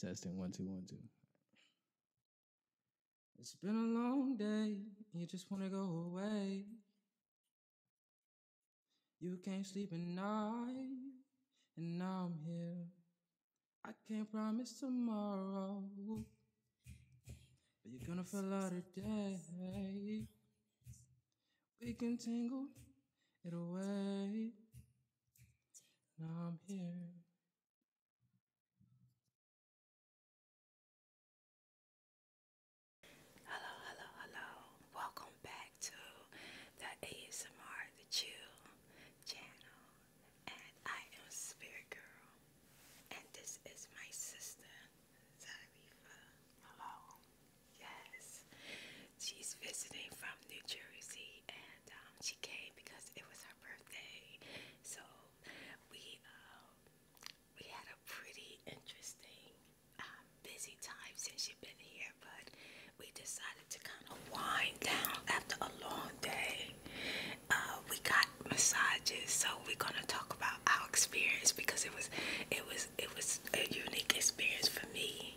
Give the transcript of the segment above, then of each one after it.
Testing one two one two. It's been a long day. You just wanna go away. You can't sleep at night, and now I'm here. I can't promise tomorrow, but you're gonna feel out today. We can tangle it away. Now I'm here. Hello, hello, hello. Welcome back to the ASMR The Chill channel. And I am Spirit Girl. And this is my sister, Zarifa. Hello. Yes. She's visiting from New Jersey and um, she came because it was her birthday. So we um, we had a pretty interesting um, busy time since she'd been here, but we decided to kind of wind down after a long day. Uh, we got massages, so we're gonna talk about our experience because it was, it was, it was a unique experience for me.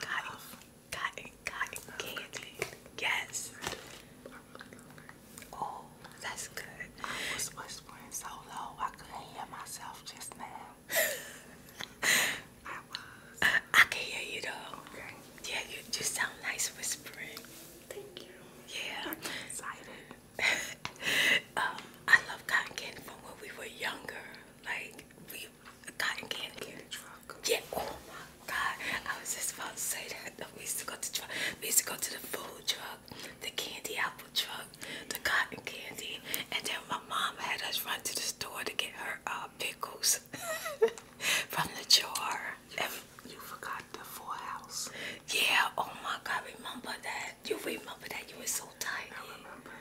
Cotton, cotton, cotton candy. Yes. Oh, that's good. whispering so low I couldn't hear myself just now. I was. I can hear you though. Yeah, you you sound nice whispering. Thank you. Yeah. excited. um, I love cotton candy from when we were younger. Like we you cotton candy. truck. Yeah. Oh my God. I was just about to say that. We used to go to truck. We used to go to the food truck, the candy apple truck, the cotton candy, and then my mom had us run to the store to get her uh, pickles from the jar. you forgot the full house. Yeah. Oh my God. Remember that? You remember that? You were so tight. I remember.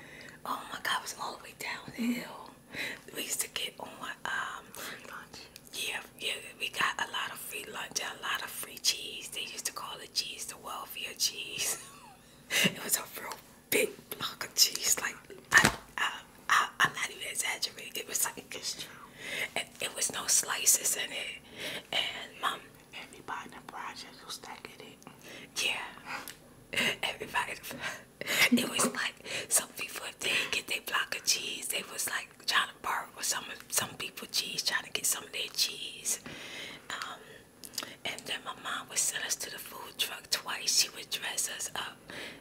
Oh my God. It was all the way down the mm. hill we used to get on um Yeah, yeah, we got a lot of free lunch, a lot of free cheese. They used to call it cheese, the welfare cheese. it was a real big block of cheese. Like I, I, I am not even exaggerating. It was like It, was no slices in it, and mom. Um, Everybody in the project was stacking it. Yeah everybody it was like some people if they get their block of cheese they was like trying to borrow some some people cheese trying to get some of their cheese um, and then my mom would send us to the food truck twice she would dress us up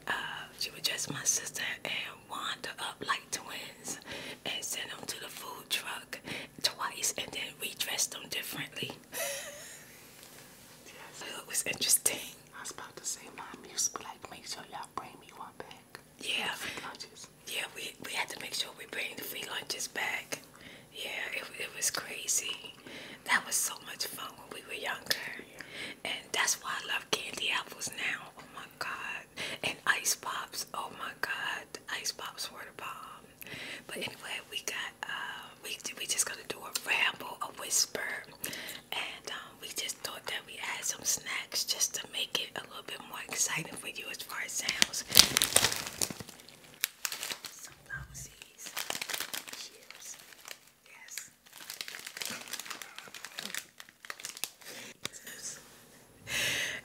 uh, she would dress my sister and wander up like twins and send them to the food truck twice and then redress them differently It was interesting. I was about to say, Mom used to be like, make sure y'all bring me one back. Yeah. Free lunches. Yeah, we, we had to make sure we bring the free lunches back. Yeah, it, was crazy. That was so much fun when we were younger. And that's why I love candy apples now. Oh my God. And ice pops. Oh my God. Ice pops were the bomb. But anyway, we got... Um, we we just gonna do a ramble, a whisper, and um, we just thought that we add some snacks just to make it a little bit more exciting for you as far as sounds. Some flower seeds.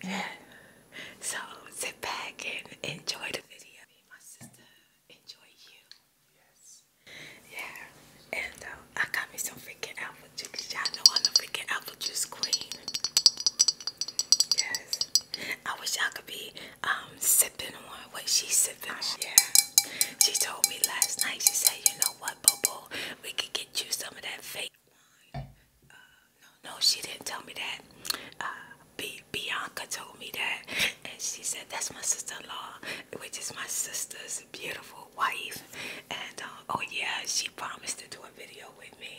Yes. yeah. So sit back and enjoy the video. my sister enjoy you. Yes. Yeah. And uh, I got me some freaking apple juice. Y'all know I'm a freaking apple juice queen. Yes. I wish I could be um, sipping on what she's sipping Yeah. She told me last night, she said, you know what, Bobo, we could get you some of that fake wine. Uh, no, no, she didn't tell me that. Uh, Bianca told me that, and she said that's my sister-in-law, which is my sister's beautiful wife. And uh, oh yeah, she promised to do a video with me.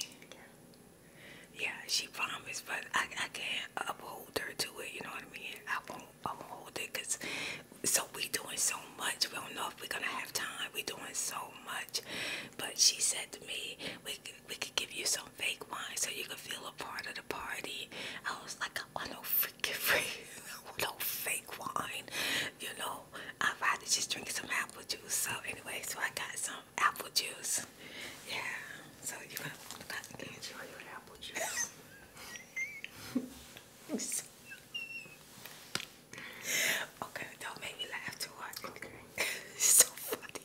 Yeah, she promised, but I, I can't uphold her to it. You know what I mean? I won't, uphold it because so we doing so much. We don't know if we're gonna have time. We doing so much, but she said to me, we we could give you some fake wine so you can feel a part of the party. I was like, I want no freaking free, no fake wine, you know. I'd rather just drink some apple juice. So anyway, so I got some apple juice. Yeah. So you're gonna, you're gonna enjoy your apple juice. okay, don't make me laugh too hard. Okay. so funny.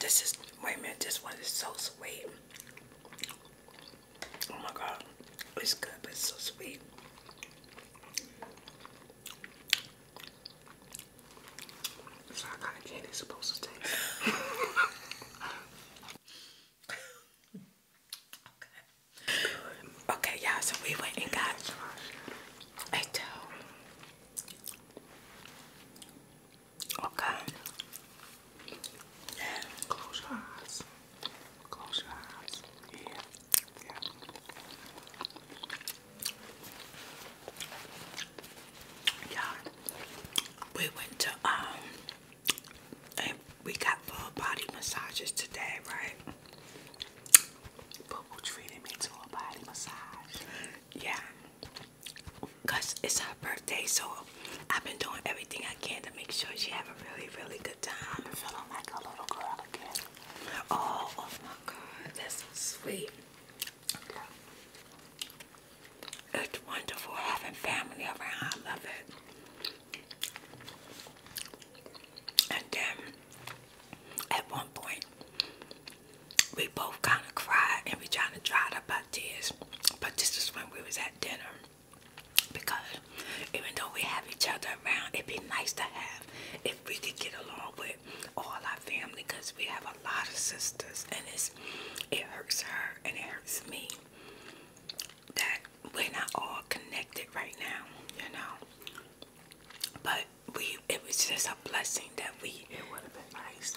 This is, wait a minute, this one is so sweet. Oh my god, it's good, but it's so sweet. It's kind of candy it's supposed to taste. okay, okay so we went and got a Okay. close your eyes. Close your eyes. Yeah. Yeah. Yeah. We went to um and we got full body massages today, right? Boo treated me to a body massage. Yeah. Cause it's her birthday, so I've been doing everything I can to make sure she have a really, really good time. Oh, oh, my God, that's so sweet. It's wonderful having family around. I love it. And then, at one point, we both kind of cried and we trying to dry up our tears. But this is when we was at dinner because even though we have each other around, it'd be nice to have if we could get along with all our family because we have a lot of sisters and it's it hurts her and it hurts me that we're not all connected right now, you know. But we it was just a blessing that we it would have been nice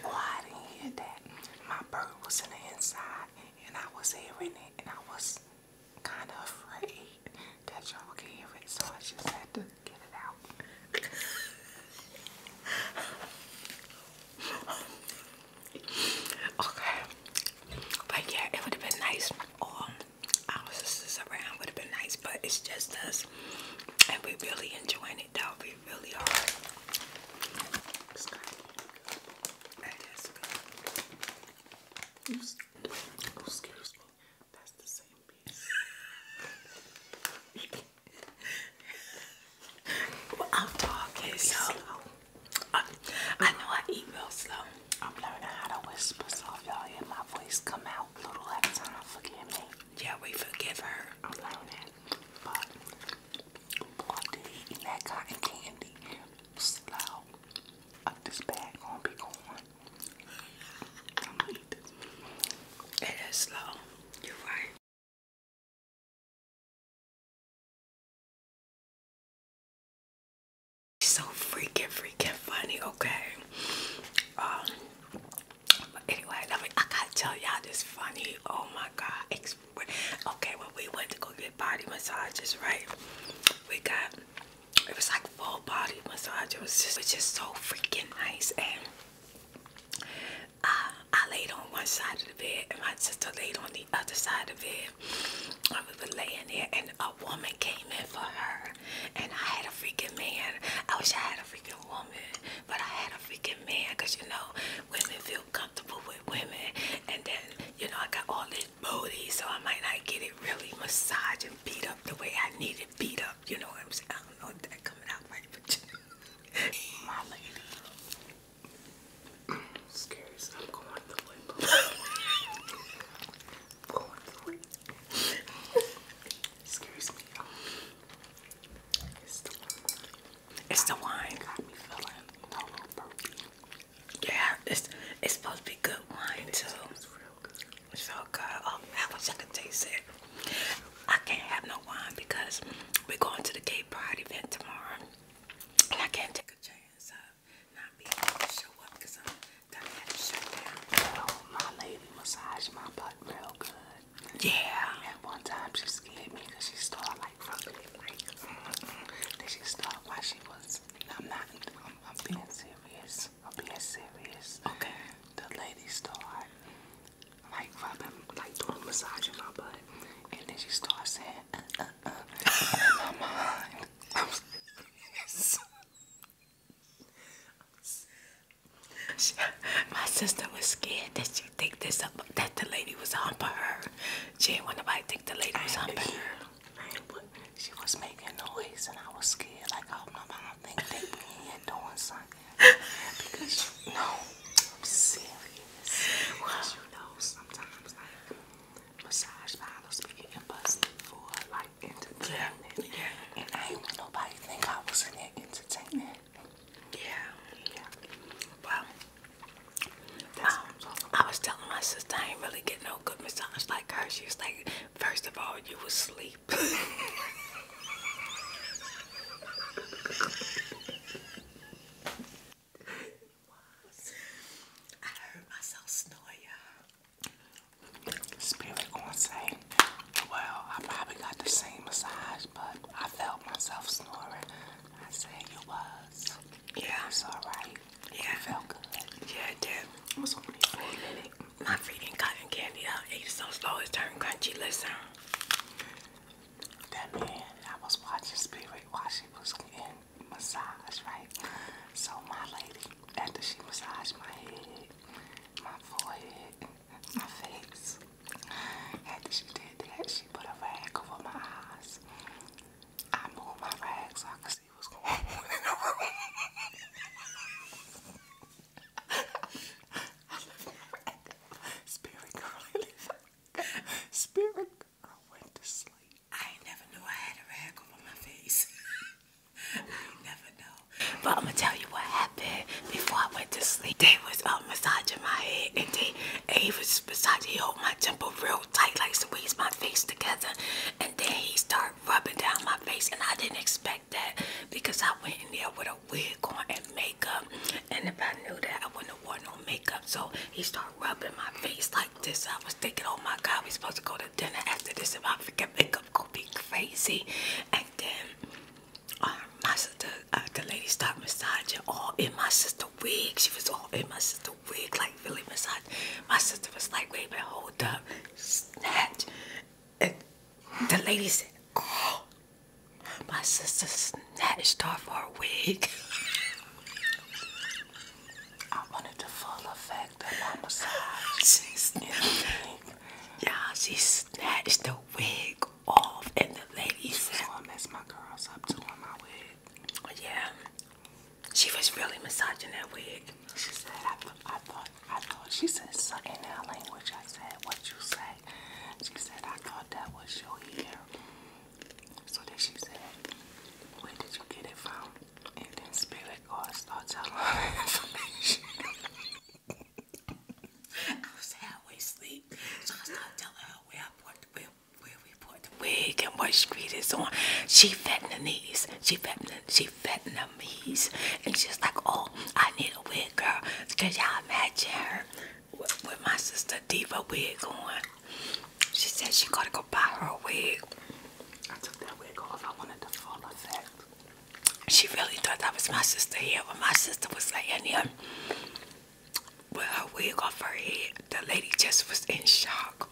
Oh, I didn't hear that. My bird was in the inside, and I was hearing it, and I was kind of afraid that y'all could hear it, so I just had to get it out. Okay. But yeah, it would have been nice. All um, our sisters around would have been nice, but it's just us. And we are really enjoying it though. We really are. I'm talking, you I, know I eat real slow. I'm learning how to whisper, so if y'all hear my voice come out little at a time, forgive me. Yeah, we forgive her. I'm learning, but boy, did eating that cotton candy slow. Up this bag gonna be gone. going It is slow. You're right. So freaking freaking funny, okay. Um but anyway, I gotta tell y'all this funny. Oh my god. Okay, when we went to go get body massages, right? We got it was like full body massage. It was just, it was just so freaking nice. And uh, I laid on one side of the bed, and my sister laid on the other side of the bed. And we laying there, and a woman came in for her. And I had a freaking man. I wish I had a freaking woman, but I had a freaking man because you know, women feel comfortable with women. And then, you know, I got all this booty, so I might not get it really massaged and beat up the way I need it beat up. You know what I'm saying? I don't know that coming out right, but my lady. I'm scared. So I'm going to the I'm going to the Excuse me. It's the wine. It's the wine. It got me feeling a little burpy. Yeah, it's it's supposed to be good wine too. It's real good. It's so good. Oh, I wish I could taste it. I can't have no wine because we're going to the gay pride event tomorrow, and I can't take a chance. Uh, Oh, yeah. At one time she scared me she started like rubbing then she started while she was I'm not I'm, being serious. I'm being serious. Okay. The lady started like rubbing like doing massaging my butt and then she starts saying, uh, uh, uh, my sister was scared that she think this up, that the lady was humping her. She didn't want nobody to think the lady was humping her. she was making noise, and I was scared. Like oh, I don't know, hope nobody think they be here doing something. Because you know, I'm serious. Well, you know, sometimes like massage parlor speaking and busting for like entertainment. Yeah. And I ain't want nobody think I was in there entertaining. Yeah. Yeah. Well, um, I was telling my sister I ain't really get no good massage like her. She was like, first of all, you was asleep. I heard myself snore, Spirit gonna say, well, I probably got the same massage, but I felt myself snoring. I said you was. Yeah. It's alright. Yeah. It felt good. Yeah, did. It was only for a minute. My freaking cotton candy, I ate it so slow it turned crunchy. Listen. That man, I was watching Spirit while she was getting like massage, right? So my lady, after she massaged my head, my forehead, my face, after she did that, she put a rag over my eyes. I moved my rag so I could see what's going on in the room. I left my Spirit girl, Spirit I went to sleep. I never knew I had a rag on my face. I never know. But I'm gonna tell you what happened before I went to sleep. They was uh, massaging my head and they and he was massaging, he hold my temple real tight, like squeeze my face together. And then he started rubbing down my face and I didn't expect that because I went in there with a wig on and makeup. And if I knew that, I wouldn't have worn no makeup. So he started rubbing my face like this. I was thinking, oh my God, we supposed to go to dinner after this. If I forget makeup, gonna be crazy. And then um, uh, my the lady started massaging all in my sister wig. She was all in my sister wig, like really massage. My sister was like, wait wait, hold up, snatch. And the lady said, oh. My sister snatched off her wig. I wanted the full effect of my massage. She snatched, She snatched the wig off, and the lady. So I messed my girls up doing my wig. Yeah, she was really massaging that wig. She said, "I, th I thought, I thought." She said, so "In our language, I said, what you say." She said, "I thought that was your hair." So then she said, Where did you get it from? And then Spirit God started telling her information. I was halfway asleep, so I started telling her where I bought the where, where we bought the wig and what street it's on. She Vietnamese, she Vietnam, she Vietnamese, and she's like, oh, I need a wig, girl. Can y'all imagine her with, with my sister Diva wig on? She said she gotta go buy her wig. I took that wig off. I wanted the full effect. She really thought that was my sister here when my sister was laying here with her wig off her head. The lady just was in shock.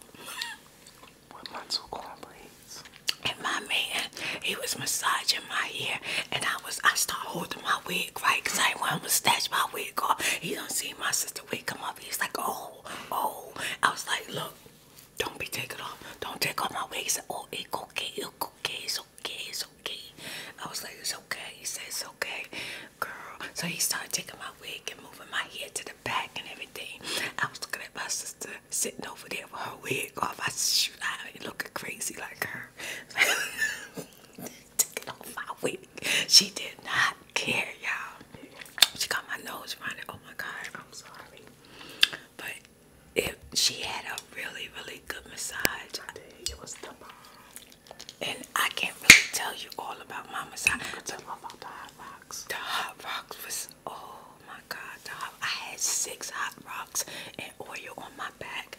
With my two cornbreads. And my man, he was massaging my hair, and I was I start holding my wig right because I want to stash my wig off. He don't see my sister wig up. He's like, oh, oh. I was like, look, don't be taking off. Don't take off my wig. He said, oh, it's okay, it's okay, it's okay, it's okay. I was like, it's okay. He said, it's okay, girl. So he started taking my wig and moving my head to the back and everything. I was looking at my sister sitting over there with her wig off. I said, shoot, I ain't looking crazy like her. Took off my wig. She did not care, y'all. She got my nose running. Oh my god, I'm sorry. But if she had a really, really good massage. It was the bomb. And I can't really tell you all about my massage. tell you about the hot rocks. The hot rocks was oh my god. The I had six hot rocks and oil on my back.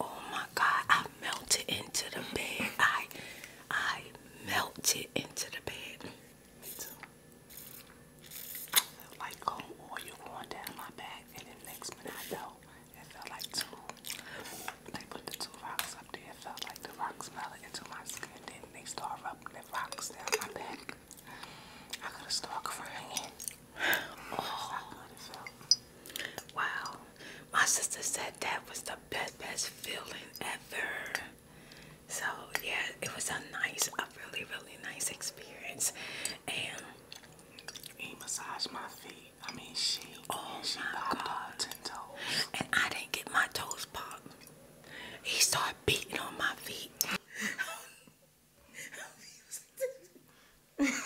Oh my god, I melted into the bed. I I melted into the bed. Me too. It felt like cold oil going down my back, and then next minute I know it felt like two. They put the two rocks up there. It felt like the rocks melted into my skin. Then they started rubbing the rocks down my back. I started crying. Oh. Wow. My sister said that was the best, best feeling ever. So yeah, it was a nice, a really, really nice experience. And he massaged my feet. I mean, she, oh she my God. ten toes. And I didn't get my toes popped. He started beating on my feet.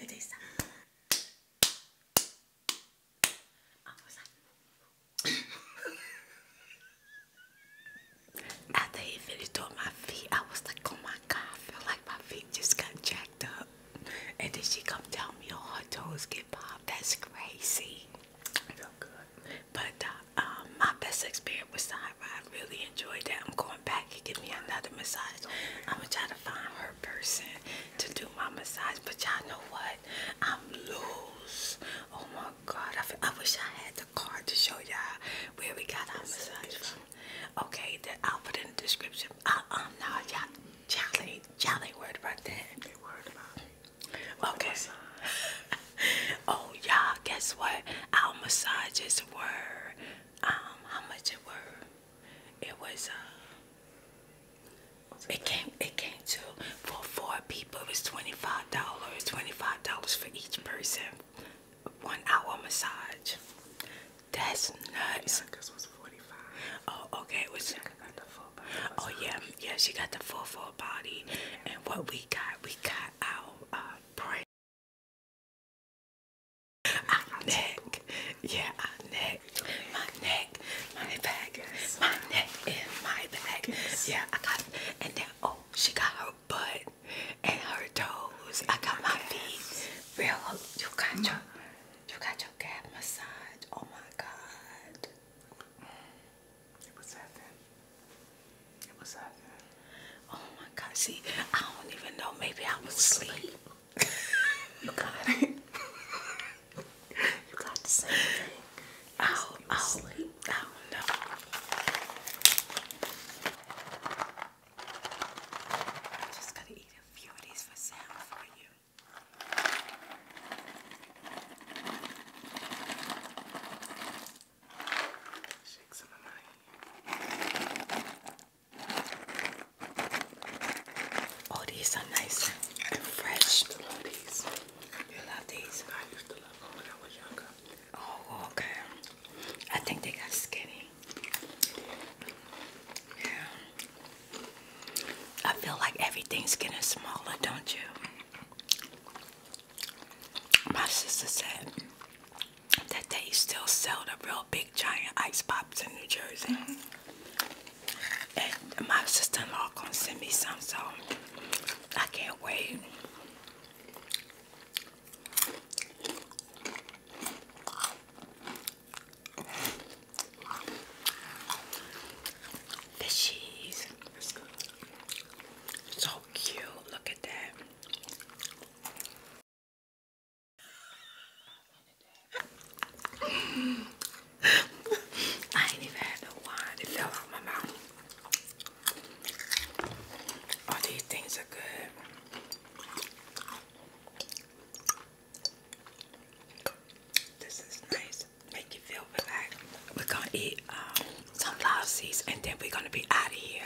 Elle dit After he finished doing my feet, I was like, oh my god, feel like my feet just got jacked up. And then she come tell me all her toes get popped. That's crazy. But uh, um, my best experience massage, I really enjoyed that. I'm going back and give me another massage. I'm gonna try to find her person to do my massage, but y'all know what? I'm loose. Oh my god, I, wish I had the card to show y'all where we got our massage from. Okay, that I'll put in the description. Uh uh no, y'all, y'all ain't, y'all ain't worried about that. They worried about Okay. oh y'all, guess what? Our massages were um how much it were it was uh it came it came to for four people was twenty five dollars twenty five dollars for each person one hour massage that's nuts oh okay it was got the full body oh yeah yeah she got the full full body and what we got we got our uh, right. neck, yeah, our neck, my neck, my back, my neck and my back. Yeah, I got and then oh, she got her butt and her toes. I got my feet. Real, you got mm. your, you got your calf massage. Oh my God. Oh my God! See, I don't even know. Maybe I was asleep. you got it. you got the same thing. Oh, oh, sleep. I don't know. I'm just gonna eat a few of these for sound for you. Oh, these are nice and fresh. I love these. You love these? I used to love them when I was younger. Oh, okay. I think they got skinny. Yeah. I feel like everything's getting smaller, don't you? My sister said that they still sell the real big giant ice pops in New Jersey. Mm-hmm. And my sister-in-law gonna send me some, so I can't wait. The So cute. Look at that. I ain't even had no wine. It fell out my mouth. All these things are good. This is nice. Make you feel relaxed. We're gonna eat um, some sunflower and then we're gonna be out of here.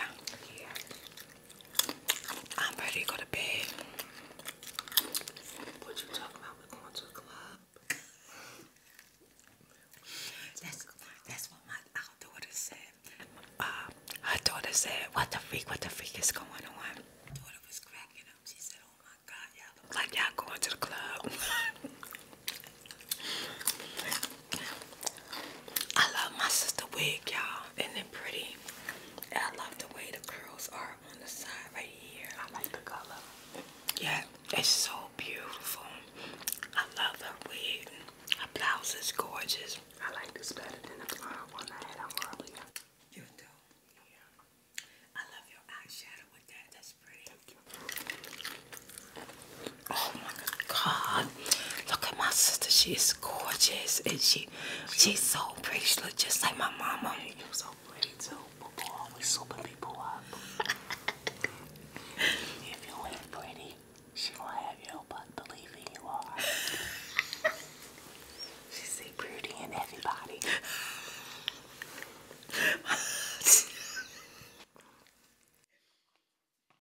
I'm ready to go to bed. What you talking about? We're going to a club. That's what my daughter said. Uh, her daughter said, "What the freak? What the freak is going on?" My daughter was cracking up. She said, "Oh my God, y'all like y'all going to the club." I love my sister wig, y'all. Isn't it pretty? I love the way the curls are on the side right here. I like the color. Yeah, it's so beautiful. I love the wig. My blouse is gorgeous. I like this better than the one I had earlier. You do? Yeah. I love your eyeshadow with that. That's pretty. Oh my God! Look at my sister. She is gorgeous, and she she's so pretty. She looks just like my mama. You so pretty too. People always souping people up. if you ain't pretty, she will have you, but believing you are. she see pretty in everybody.